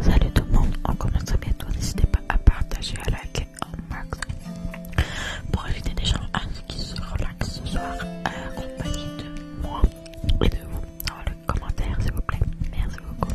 Salut tout le monde, on commence très bientôt. N'hésitez pas à partager, à liker en max pour éviter des gens qui se relaxent ce soir, euh, compagnie de moi et de vous dans le commentaire, s'il vous plaît. Merci beaucoup.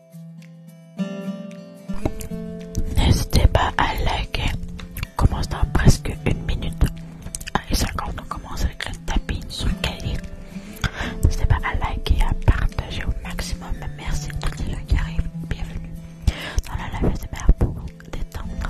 N'hésitez pas à liker. On commence dans presque une minute. Allez ah, et 50, on commence avec le tapis sur cahier. N'hésitez pas à liker et à partager au maximum. Merci à tous les qui arrivent. Bienvenue dans la live de mer pour détendre.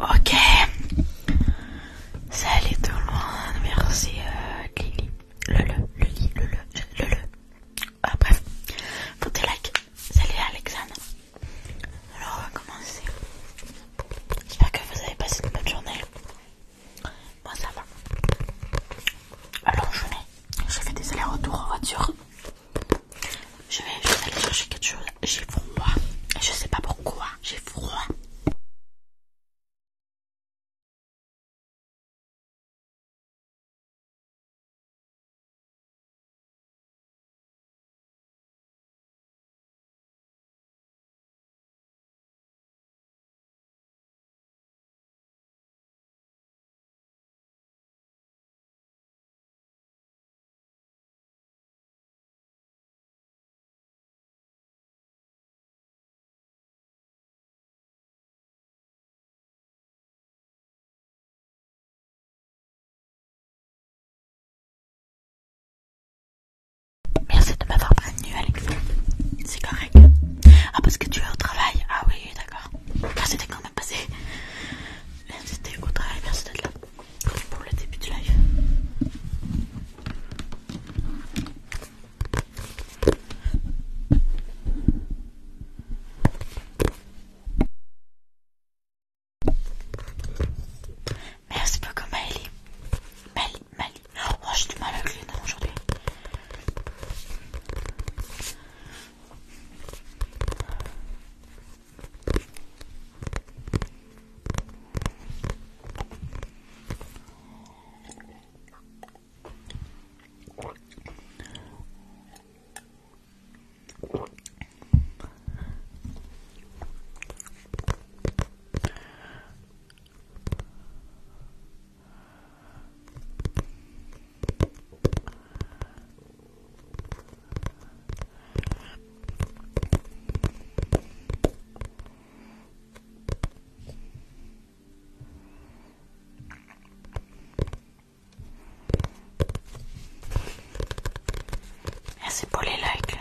Ok. salut euh, tout le monde. Merci Lili Lily. Le le, le le Ah, bref. Votez like. Salut Alexandre, Alors on va commencer. J'espère que vous avez passé une bonne journée. Moi ça va. Alors je vais, je fais des allers-retours en voiture. Je vais, aller chercher quelque chose. J'ai froid. Je sais pas pourquoi. J'ai froid. Merci de m'avoir c'est correct. Ah parce que tu es au travail. Ah oui d'accord. Ah, c'était quand même passé. c'était au travail, merci d'être là pour le début du live. Merci beaucoup Maëlie. Oh, j'ai du mal à les noms aujourd'hui. Merci pour les likes.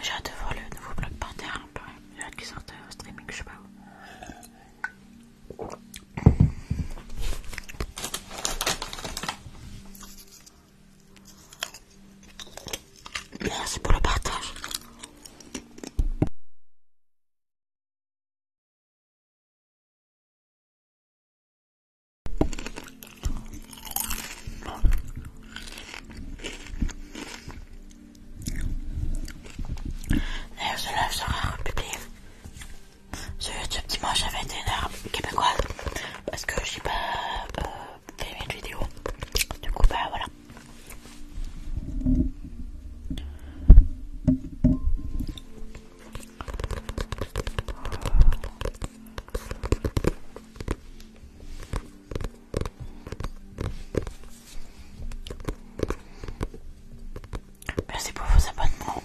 J'ai hâte de voir le nouveau bloc par terre un peu. J'ai hâte au streaming, je sais pas Merci pour le partage. D'ailleurs, ce live sera publié sur YouTube dimanche à 21h québécoise parce que j'ai pas euh, fait une vidéo. Du coup, ben voilà. Merci pour vos abonnements.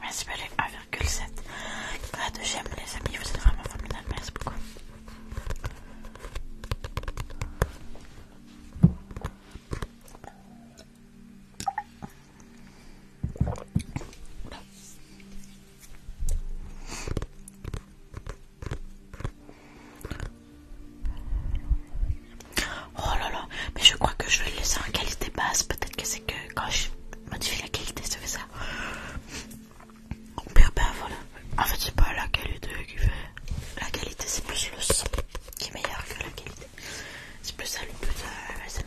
Merci Balé, 1,7. de j'aime les amis, vous êtes vraiment formidable, merci beaucoup. Oh là là, mais je crois que je vais le laisser en qualité basse. Peut-être que c'est que quand je modifie la qualité, ça fait ça. Au pire, ben, ben voilà. En fait, c'est pas la qualité qui fait. La qualité, c'est plus le son qui est meilleur que la qualité. C'est plus ça le but de euh,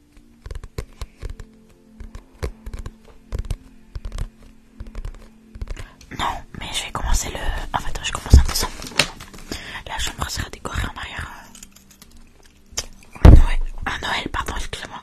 Non, mais je vais commencer le. En fait, je commence en je La chambre sera décorée en arrière. Un Noël, Noël pardon, excusez-moi.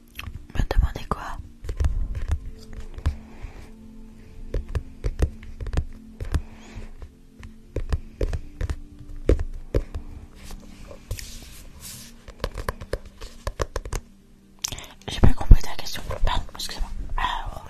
me demandez quoi j'ai pas compris ta question. Pardon, excusez-moi. Ah, oh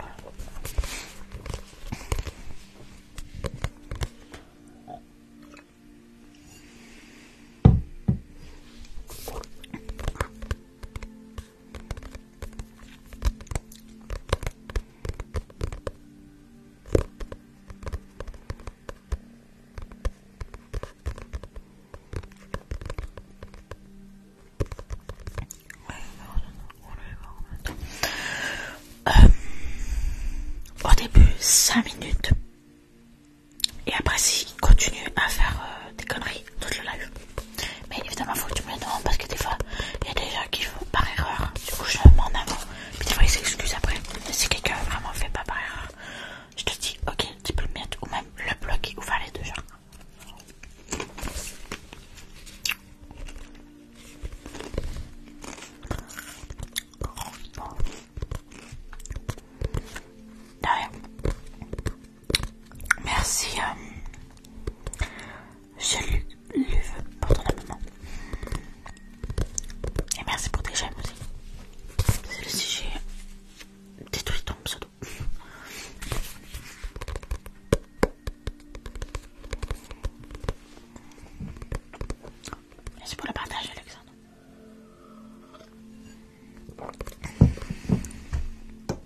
au début 5 minutes et après si continue à faire euh, des conneries, tout le live mais évidemment, faut que tu me le demandes parce que des fois, il y a des gens qui font par erreur. Du coup, je m'en avant. Puis des fois, ils s'excusent après. Mais si quelqu'un vraiment fait pas par erreur, je te dis, ok, tu peux le mettre ou même le bloquer ou faire les deux genres. D'ailleurs Merci. Euh, je lui, veux pour ton abonnement. Et merci pour tes j'aime aussi. C'est le sujet. Détruit ton pseudo. Merci pour le partage, Alexandre.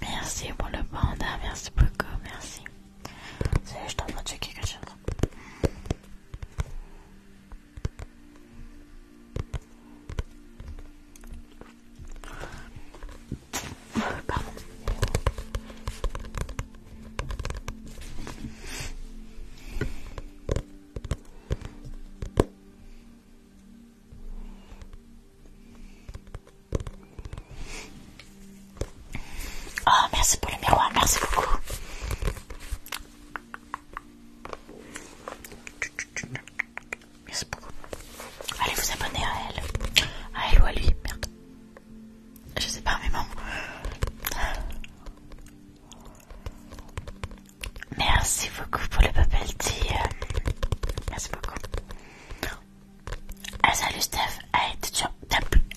Merci pour le panda, merci beaucoup, merci. Salut, je t'envoie checker quelque chose. Pardon. Oh, merci pour le miroir, merci beaucoup. Merci beaucoup. Allez vous abonner à elle. À elle ou à lui, Je sais pas, mais bon. Merci beaucoup pour le bubble tea. Merci beaucoup. Ah salut Steph. Ah, tu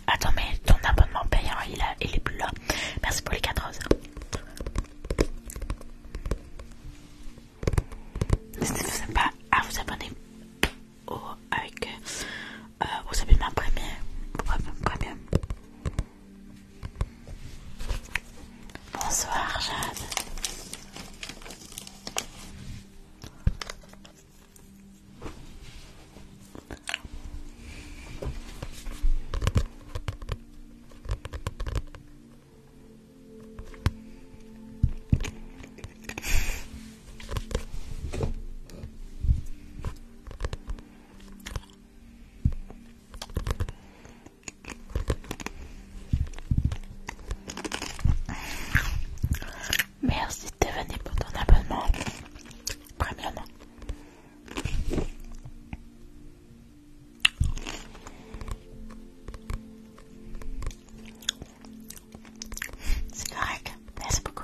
Attends mais ton abonnement payant il, est plus là. Merci pour les 14 heures. N'hésitez pas à vous abonner au... Oh, avec... Euh, euh vous Bonsoir Jeanne Merci de venir pour ton abonnement. Premium. C'est correct. Merci beaucoup.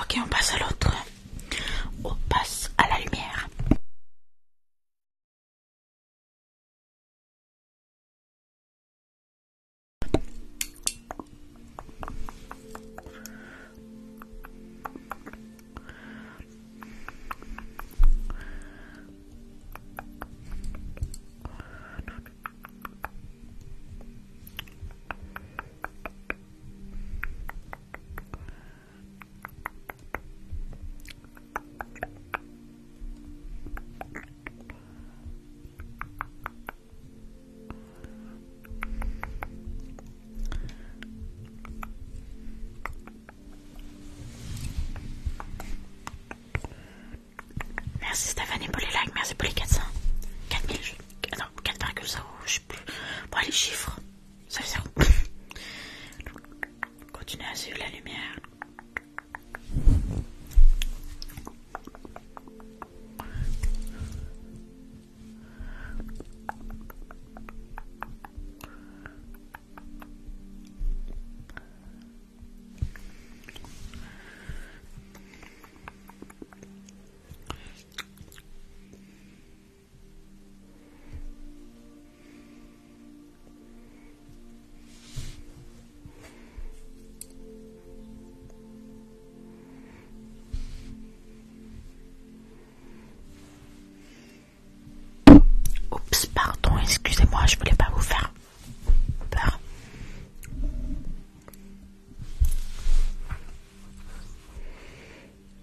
Ok, on passe à l'autre. On passe à la lumière. Merci Stéphanie pour les likes, merci pour les 400. 4000, non, 4,0, je pour les chiffres, ça sert. Continuez à suivre la lumière. Oups, pardon, excusez-moi, je voulais pas vous faire peur.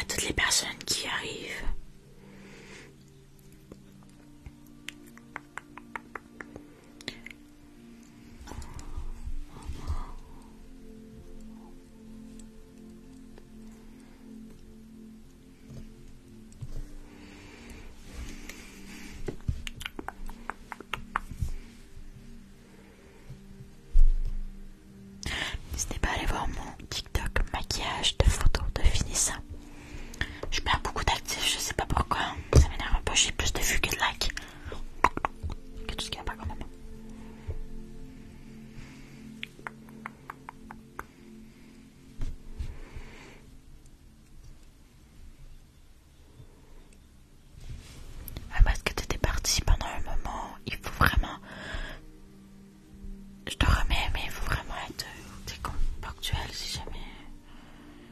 à toutes les personnes qui arrivent. N'hésitez pas à aller voir mon TikTok maquillage de photos de finissant je perds beaucoup d'actifs, je sais pas pourquoi. Ça m'énerve un peu, j'ai plus de vues que de likes. Que tout ce qu'il y a pas quand même. parce que t'étais parti pendant un moment, il faut vraiment. Je te remets, mais il faut vraiment être. Euh, t'es ponctuel si jamais.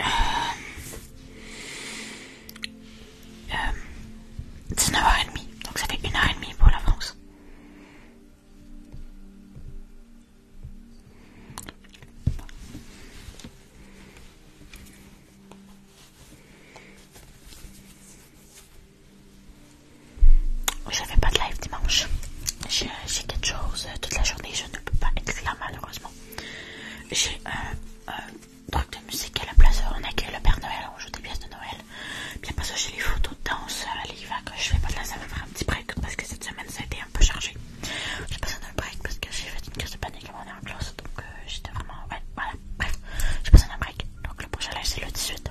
Euh... euh it's 19h30, donc ça fait heure et demie pour la France. Je fais pas de live dimanche. J'ai quelque chose euh, toute la journée, je ne peux pas être là malheureusement. J'ai un, truc de musique à la place, on accueille le Père Noël, on joue des pièces de Noël. Bien pas ça, j'ai les photos de danse, euh, les que je fais pas de live, ça va faire un petit break parce que cette semaine ça a été un peu chargé. J'ai besoin un break parce que j'ai fait une crise de panique avant en classe, donc euh, j'étais vraiment... Ouais, voilà, bref, j'ai besoin un break. Donc le prochain live c'est le 18.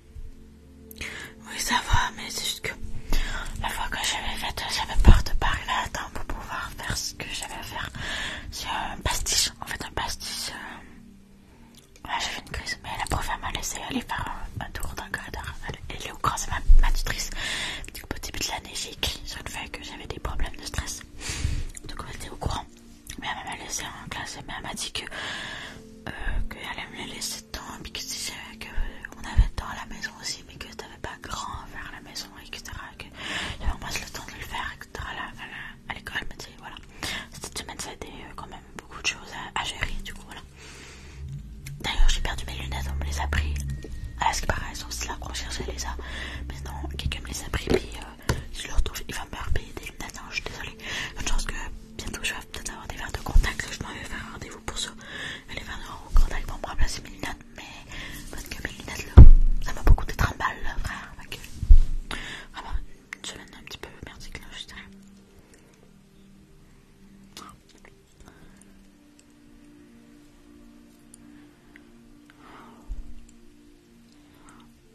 Oui, ça va, mais c'est juste que la fois que j'avais fait, j'avais peur de parler à temps pour pouvoir faire ce que j'avais à faire. C'est un pastiche, en fait, un pastiche. Euh, j'ai fait une crise, mais la prof m'a laissé aller faire un, tour d'un corridor. Elle est au courant, c'est ma, ma tutrice. Du au début de l'année, j'ai écrit sur le fait que j'avais des problèmes de stress. Donc, elle était au courant. Mais elle m'a laissé en classe, mais elle m'a dit que euh, qu'elle allait me laisser temps puis que, on avait temps à la maison aussi, mais que t'avais pas grand à faire à la maison, et Que j'avais moins le temps de le faire, etc. à l'école, elle m'a dit voilà. Cette semaine, ça a été euh, quand même beaucoup de choses à, gérer, du coup, voilà. D'ailleurs, j'ai perdu mes lunettes, on me les a pris. Ah, ce qui paraît, aussi là la chercher les a. Mais non, quelqu'un me les a pris, puis euh, ils je le retrouve, il va me repayer des lunettes, hein, je suis désolée. Une chance que bientôt je vais peut-être avoir des verres de contact. Je m'en vais faire un rendez-vous pour ça. Les verres de contact vont me remplacer mes lunettes. Mais parce que mes lunettes là, ça m'a beaucoup être un mal frère. Vraiment, une semaine un petit peu merdique là, je dirais.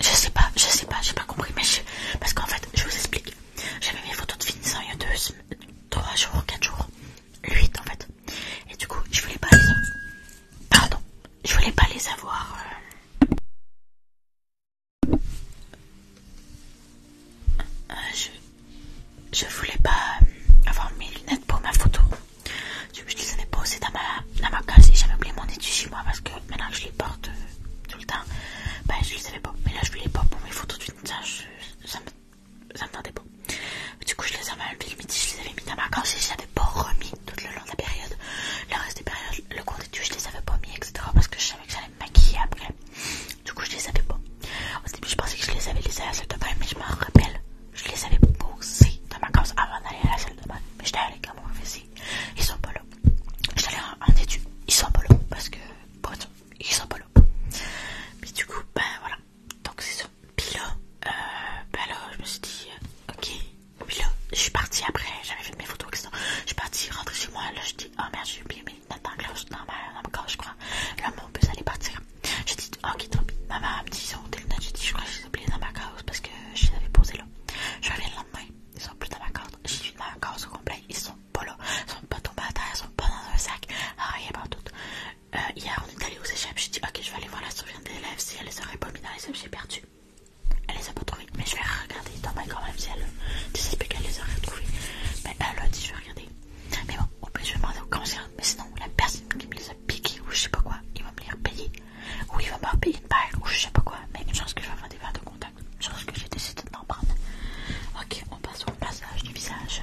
Je sais pas, je sais pas, j'ai pas compris, mais parce qu'en fait, je vous explique. J'avais mes photos de finissant il y a 2 3 jours, 4 jours, 8 en fait. Et du coup, je voulais pas les, pardon, je voulais pas les avoir. Euh. Euh, je... je voulais pas euh, avoir mes lunettes pour ma photo. Je les avais posées dans ma, dans ma case et j'avais oublié mon étui chez moi parce que maintenant je les porte tout le temps. Ben, je les avais pas. Mais là, je voulais pas pour mes photos de suite, Ça me, ça me tentait pas. Du coup, je les avais mis le je les avais mis dans ma et je les avais pas remis tout le long de la période. Le reste des périodes, le cours d'études, je les avais pas mis, etc. Parce que je savais que j'allais me maquiller après. Du coup, je les avais pas. Au début, je pensais que je les avais laissés à la salle de bain, mais je m'en rappelle. Je les avais posés dans ma gorge avant d'aller à la salle de bain. Mais j'étais allée quand même faisait ils sont pas là. J'allais en étude. Ils sont pas là parce que bon, ils sont pas là. Mais du coup, ben voilà. Donc c'est ça. Puis là, euh, ben là, je me suis dit, euh, ok. Puis là, je suis partie après. J'avais fait mes photos, Je suis partie rentrer chez moi. Là, je dis, oh merde, j'ai oublié mes notes dans, non ma, dans ma je crois. Là, mon bus allait partir. je dit, ok, tant pis. Maman me dit, ils ont des lunettes. J'ai dit, je crois que je ai oublié dans ma cause parce que je les avais posées là. Je reviens le lendemain ils sont plus dans ma corde, J'ai une ma corde au complet, ils sont pas là, ils sont pas tombés à terre, ils sont pas dans un sac, ah, rien partout. Euh, hier on est allé aux échappes, j'ai dit ok je vais aller voir la souveraine des élèves, si elle les aurait pas mis dans les œufs, j'ai perdu. Elle les a pas trouvés, mais je vais regarder dans ma quand même si elle, tu sais qu'elle les aurait retrouvés, mais elle a dit je vais regarder. Mais bon, au plus je vais demander au concert mais sinon la personne qui me les a piqués ou je sais pas quoi, il va me les repayer, ou il va me repayer une paire ou je sais pas quoi, mais une chance que je vais avoir des verres de contact pense que j'ai décidé d'en prendre. Ok, on passe au passage du visage.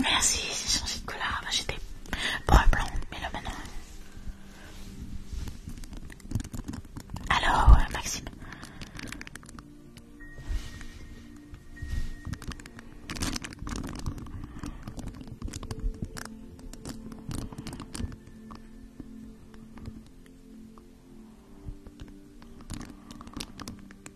Merci, j'ai changé de couleur. Enfin, J'étais un blond, mais là maintenant. Allô, euh, Maxime.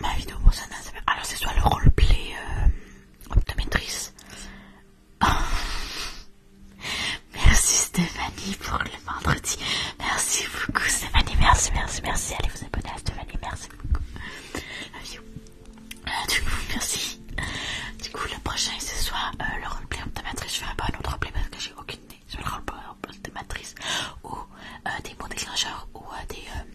Ma vidéo pour ça, bien Alors c'est soit le roleplay euh, Optométrice. Oh. Merci Stéphanie pour le vendredi. Merci beaucoup Stéphanie. Merci, merci, merci. Allez vous abonner à Stéphanie. Merci beaucoup. Euh, du coup, merci. Du coup, le prochain, ce soit euh, le roleplay optométrice. Je ferai pas un autre roleplay parce que j'ai aucune idée sur le roleplay optométrice ou euh, des mots déclencheurs ou des...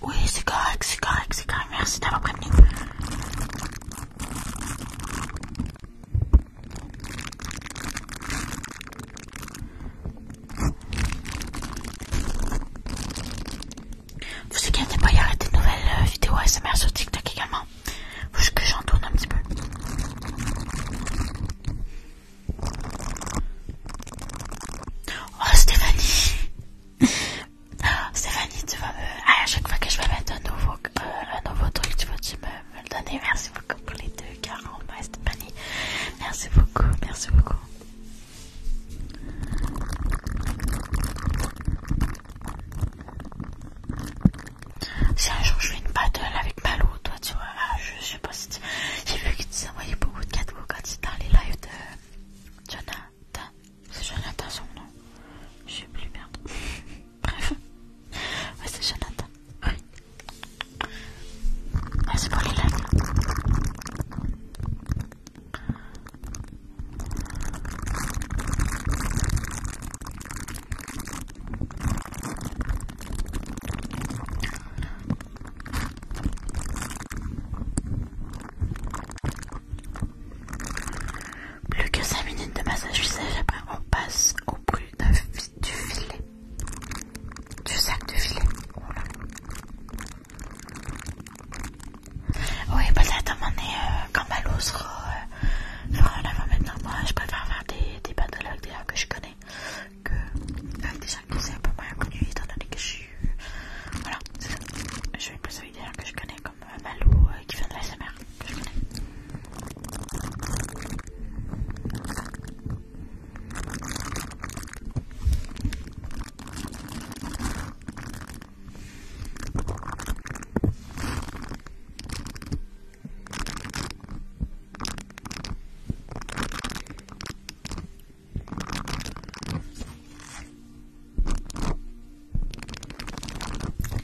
Oui, c'est correct, c'est correct, c'est correct. Merci d'avoir prévenu. Vous inquiétez pas, euh, il y a des nouvelles vidéos ASMR sur TikTok également. Faut que j'en tourne un petit peu. Oh Stéphanie Stéphanie tu vas me... Euh, à chaque fois que je vais mettre euh, un nouveau, truc tu vois, tu me, le donnes. Merci beaucoup pour les deux 40 bas Stéphanie. Merci beaucoup, merci beaucoup. Si un jour je fais une battle avec Malou, toi tu vois, ah, je sais pas si tu... J'ai vu que tu envoyais beaucoup de cadeaux quand tu dans les lives de... Jonathan. C'est Jonathan son nom. Je sais plus, merde. Bref. Ouais, c'est Jonathan. Oui. Ah, c'est pour les lèvres plus que 5 minutes de massage visage, après on passe au bruit du filet. Du sac de filet. Oui, peut-être à un moment donné, euh, quand sera euh, maintenant, moi je préfère faire des, des pathologues des que je connais que avec euh, des gens qui sont un peu moins connus étant donné que je suis... Voilà, Je vais plus des que je connais, comme euh, Malou euh, qui vient de la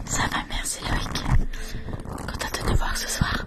ça va, merci Loïc. content de te voir ce soir.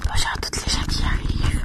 Bonjour oh, à toutes les gens qui arrivent.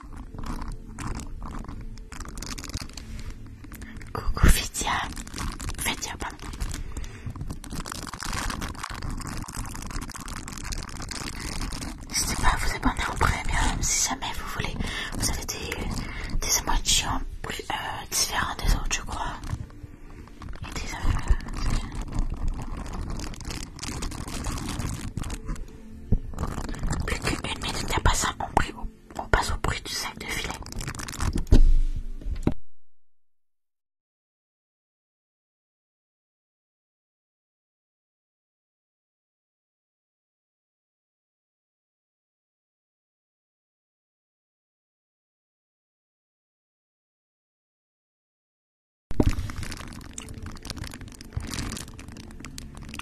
Coucou Fidia. Fidia, pardon. N'hésitez pas à vous abonner en premium si jamais vous voulez. Vous avez des, des émotions euh, différentes des autres, je crois. Et des, affaires. Plus qu'une minute n'a pas ça, on passe au bruit du sac de filet.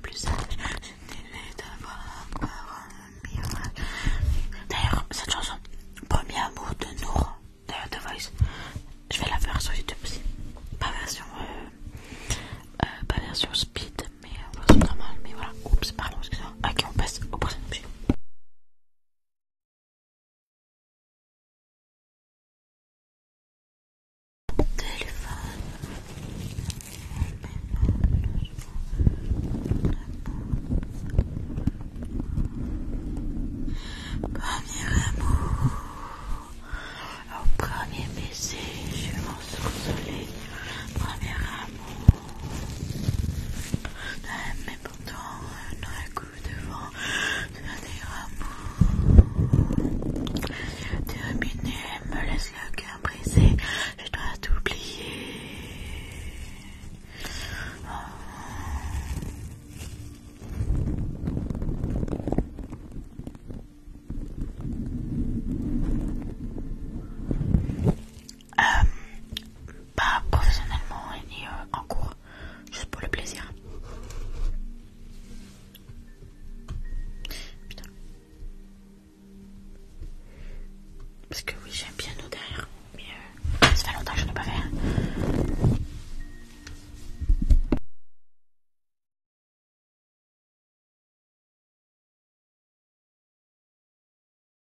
plus D'ailleurs, cette chanson, Premier amour de Nour, de The Voice, je vais la faire sur YouTube aussi. Pas version, euh, euh, pas version speed, mais euh, version normal, Mais voilà, oups, pardon, excusez-moi. Ok, on passe au prochain objet téléphone Premier amour, au premier baiser, je souviens Premier amour, mais pourtant, devant de tes terminer me laisse le cœur brisé, je dois t'oublier. oublier. Euh, pas professionnellement ni euh, en cours, juste pour le plaisir. Putain. Parce que oui, j'aime bien piano derrière, mais euh, ça fait longtemps que je n'ai pas fait. Hein.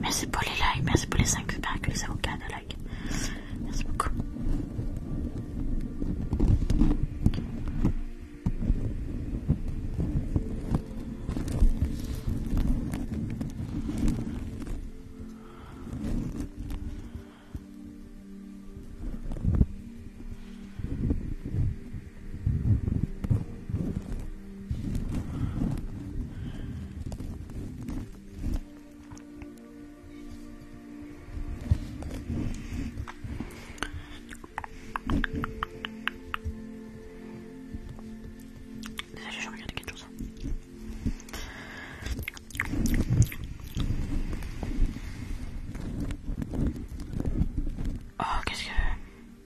Merci pour les likes, merci pour les 5 que les avocats likes. Merci beaucoup je regarde quelque chose. Oh, qu'est-ce que.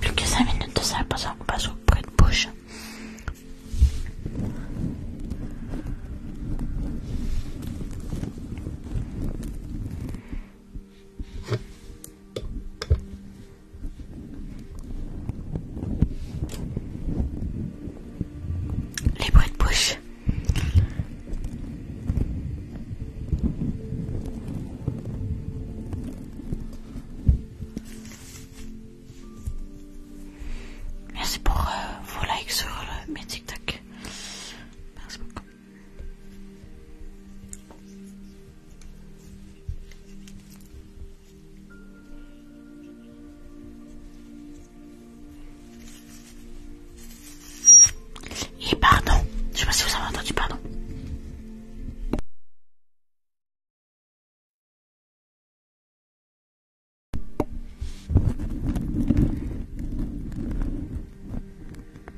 plus que cinq minutes de ça passe au auprès de bouche les bruits de bouche. Merci pour euh, vos likes sur euh, mes TikTok. Merci beaucoup. Et pardon, je sais pas si vous avez entendu pardon.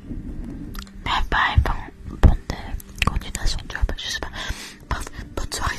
Mais bah, bon, bonne continuation, tu vois, je sais pas. bonne soirée.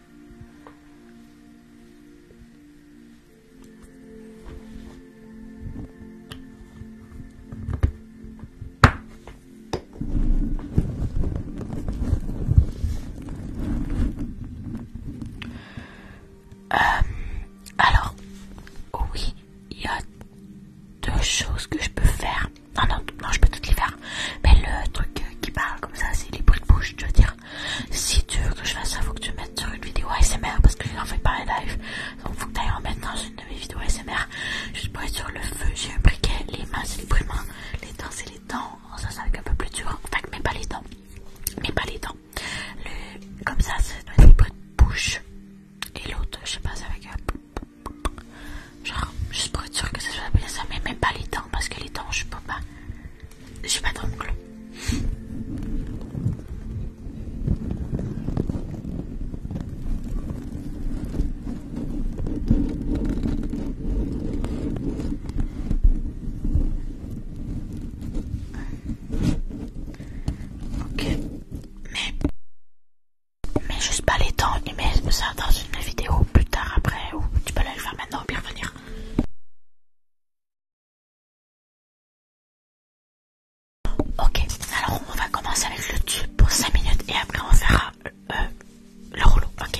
Euh, alors, oui, il y a deux choses que je peux faire. Non, non, je peux toutes les faire. Mais le truc qui parle comme ça, c'est les bruits de bouche, je veux dire. Si tu veux que je fasse ça, faut que tu mettes sur une vidéo ASMR parce que je n'en fais pas un live. Donc faut que tu ailles en mettre dans une de mes vidéos ASMR. Juste pour être sur le feu, j'ai un briquet, les mains c'est les brûlements. les dents c'est les dents. Oh, ça c'est avec un peu plus dur. Enfin, mais pas les dents. Mais pas les dents. Comme ça, c'est les bruit de bouche. Et l'autre, je sais pas, c'est avec un. Genre, juste pour être sûr que ça soit bien ça, mais même pas les dents parce que les dents, je peux pas. Je sais pas d'ongle. Ok, mais, mais juste pas les temps Mais peux ça dans une vidéo plus tard après ou tu peux le faire maintenant ou bien revenir. Ok, alors on va commencer avec le tube pour 5 minutes et après on fera euh, le rouleau. Ok,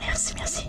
Merci, merci.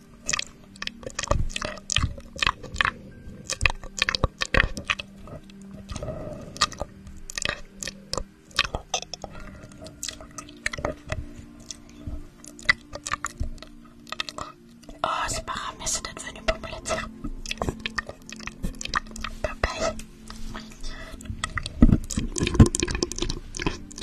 Oh, c'est pas grave, mais c'est devenu populaire.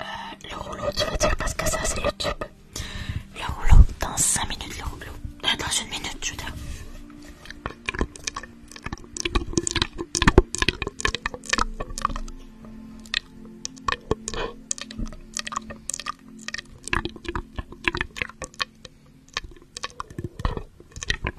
Euh, le rouleau, tu veux dire, parce que ça c'est le tube. Le rouleau, dans cinq minutes, le rouleau. Euh, dans une minute, je veux dire.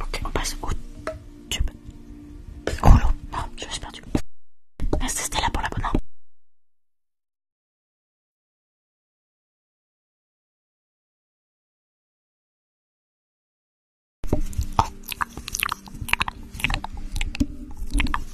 Ok, on passe au tube. Oh non, je me suis perdu. Ah, c'était là pour l'abonnement.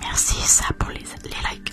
Merci ça pour les, les likes.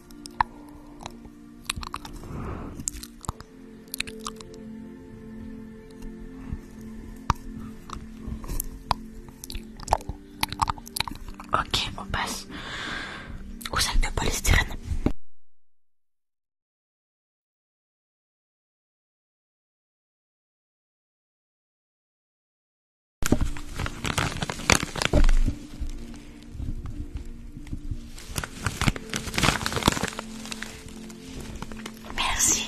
Ok, on passe au sac de polystyrène. Merci.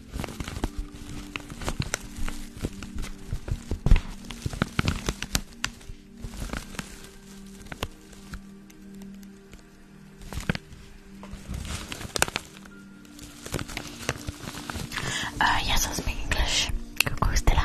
Uh, ah, yes, I speak English. ¿cómo Stella.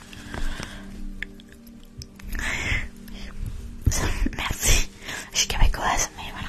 Merci. Je suis québécoise, mais voilà.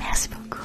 Merci beaucoup.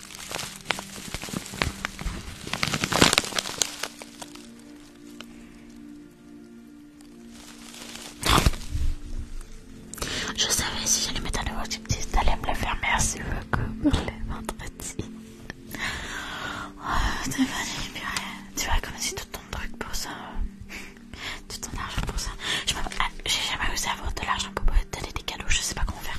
Je savais si j'allais mettre un nouveau type test, t'allais me le faire, merci beaucoup pour les vendredis. Oh, Stéphanie, Tu comme si tout ton truc pour ça, tout ton argent pour ça. J'ai jamais osé avoir de l'argent pour te donner des cadeaux, je sais pas comment faire.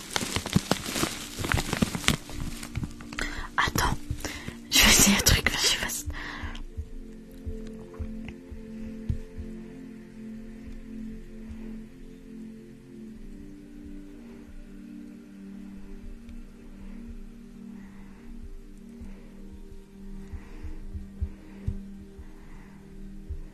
Attends, je vais essayer un truc, je suis pas.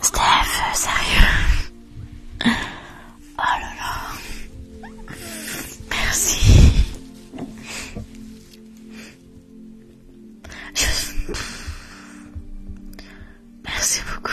Steph, sérieux Oh là là. Merci. Merci beaucoup.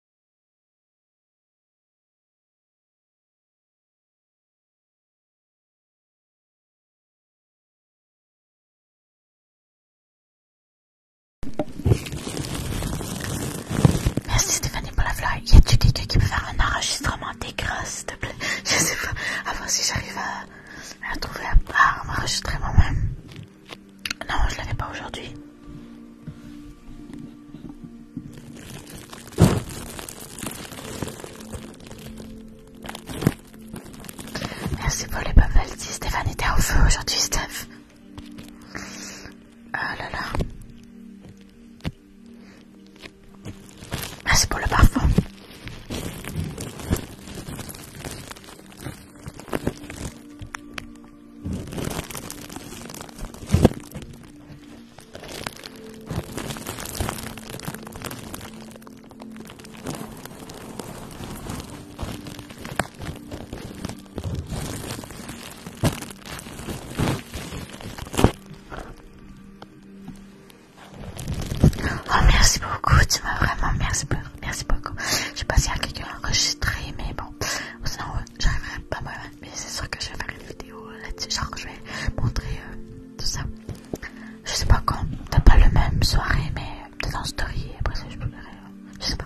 Merci Stéphanie pour la fleur. Y tu quelqu'un qui peut faire un enregistrement grosses s'il te plaît? Je sais pas. À voir si j'arrive à, trouver à, à m'enregistrer moi-même. Non, je l'avais pas aujourd'hui. Merci pour les babels, Si Stéphane était au feu aujourd'hui, Steph. Oh là là. Merci pour le parfum. Oh merci beaucoup, tu m'as vraiment merci beaucoup, merci beaucoup. Je sais pas si y a quelqu'un enregistré, mais bon, sinon euh, J'arriverai pas moi mais c'est sûr que je vais faire une vidéo là-dessus, genre je vais montrer euh, tout ça. Je sais pas quand, peut pas le même soirée, mais peut-être en story, après ça je pourrai euh, je sais pas.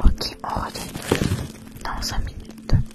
Ok, on revient dans 5 minutes.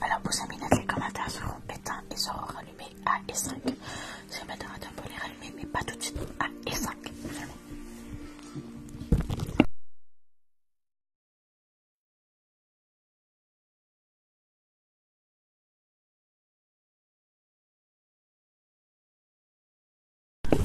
Alors, mis minutes, les commentaires seront éteints et seront rallumés. A à 5 Je vais mettre un peu les rallumer, mais pas tout de suite à E5. Vraiment. Voilà,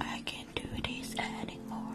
I can't do this anymore.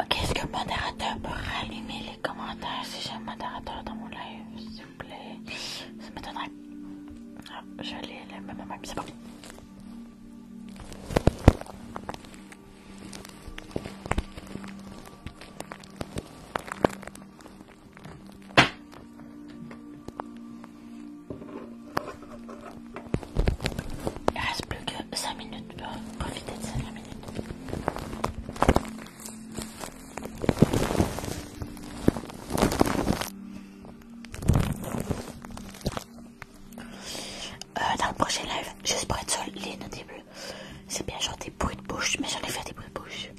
Ok, est ce que modérateur peut rallumer les commentaires si j'ai un modérateur dans mon live, s'il vous plaît Ça m'étonnerait. Ah, je l'ai, même, c'est bon. Il reste plus que 5 minutes pour profiter de cette euh, dans le prochain live, j'espère être solide les début, c'est bien genre des bruits de bouche, mais j'en ai fait des bruits de bouche.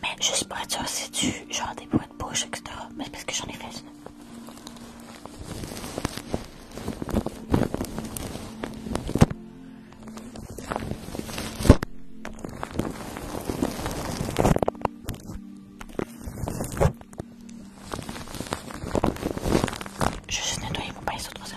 Mais juste pour être sûr, c'est du genre des bois de bouche, etc. Mais parce que j'en ai fait une. Je suis nettoyé pour pas les autres ça.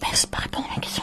Merci, pardon, la question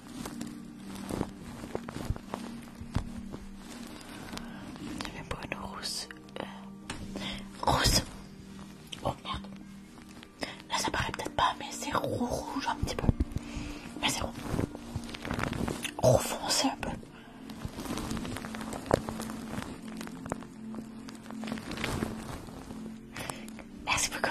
C'est même pour une rousse. Euh, rousse. Oh merde. Là ça paraît peut-être pas, mais c'est rouge un petit peu. Mais c'est rouge, rouge foncé un peu. Merci beaucoup.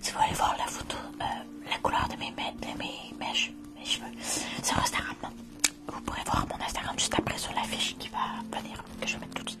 Si vous voulez voir la photo, euh, la couleur de mes, mèches, cheveux, sur Instagram. Vous pourrez voir mon Instagram juste après sur l'affiche qui va venir, que je vais mettre tout de suite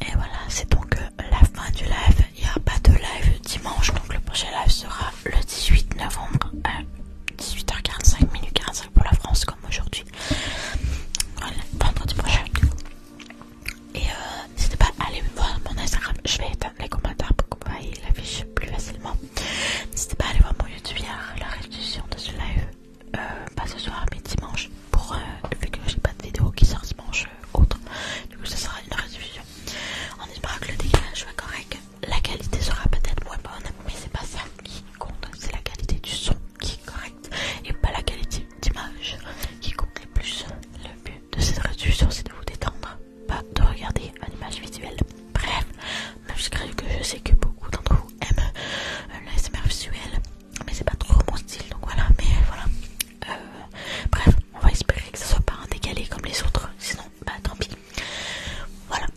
Et voilà, c'est donc euh, la fin du live. Il n'y a pas de live dimanche, donc le prochain live sera le 18 novembre. Hein. 18h45, minutes 45 pour la France comme aujourd'hui. Voilà, vendredi prochain. Et euh, n'hésitez pas à aller voir mon Instagram, je vais éteindre les commentaires pour que vous l'afficher l'affiche plus facilement. N'hésitez pas à aller voir mon YouTube hier, la restitution de ce live, euh, pas ce soir mais dimanche, pour euh, vu que j'ai pas de vidéo qui sort dimanche autre. Du coup, ça sera une résolution On espère que le dégage soit correct la qualité sera peut-être moins bonne, mais c'est pas ça qui compte, c'est la qualité du son qui est correcte et pas la qualité d'image qui compte le plus. Le but de cette réduction, c'est de vous détendre, pas de regarder une image visuelle. Bref, même que je sais que beaucoup d'entre vous aiment euh, l'ASMR visuel, mais c'est pas trop mon style donc voilà, mais voilà. Euh, bref, on va espérer que ça soit pas un décalé comme les autres, sinon bah tant pis. Voilà,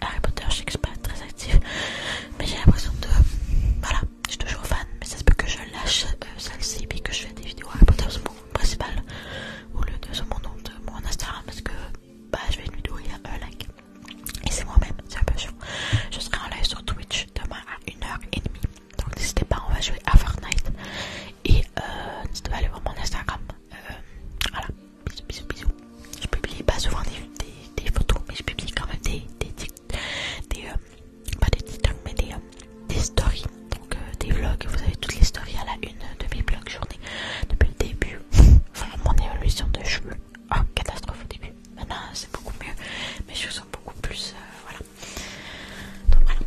Harry Potter, je sais que je suis pas très active, mais j'ai l'impression de. Voilà, je suis toujours fan, mais ça se peut que je lâche euh, celle-ci puis que je fais des vidéos Harry Potter sur mon principal ou le de mon nom de mon Instagram parce que bah je vais une vidéo, y un like. Et c'est moi-même, c'est un peu chaud. Je serai en live sur Twitch demain à 1h30. Donc n'hésitez pas, on va jouer à Fortnite. Et euh, n'hésitez pas à aller voir mon Instagram. Euh, voilà, Bisous, bisous, bisous. Je publie pas souvent des, photos, mais je publie quand même des, des, des, euh, des mais euh, des, stories. Donc euh, des vlogs, vous avez toutes les stories à la une de mes vlogs journée depuis le début. mon évolution de cheveux. Oh catastrophe au début. Maintenant c'est beaucoup mieux. Mes cheveux sont beaucoup plus. voilà. Donc voilà.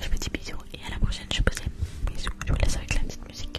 Je vous dis bisous et à la prochaine. Je vous Bisous. Je vous laisse avec la petite musique.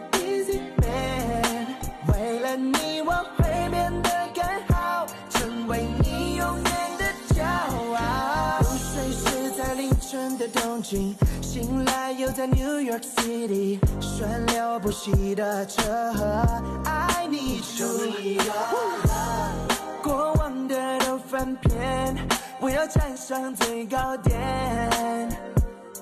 e a s y man，为了你我会变得更好，成为你永远的骄傲。入睡时在凌晨的东京，醒来又在 New York City，顺流不息的车河。I need y o u 过往的都翻篇，我要站上最高点。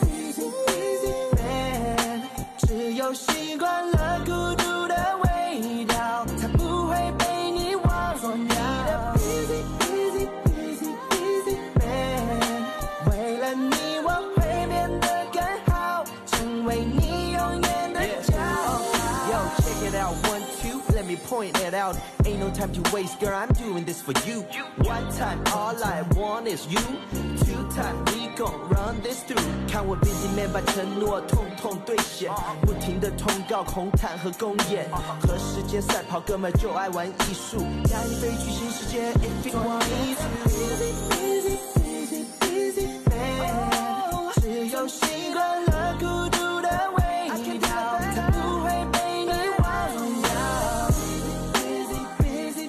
Busy, busy, busy, b u s n 只有习惯了孤独的味道，才不会被你忘掉。Busy, e u s y busy, busy man，为了你我会变得更好，成为你永远的骄傲。for you one time all i want is you two time we gon' run this through 看我 busy man 把承诺统统兑现不停的通告红毯和公演和时间赛跑哥们就爱玩艺术带你飞去新世界 if you w a n t a e t h busy busy busy busy man 只有习惯了孤独的味道才不会被你忘掉 busy busy busy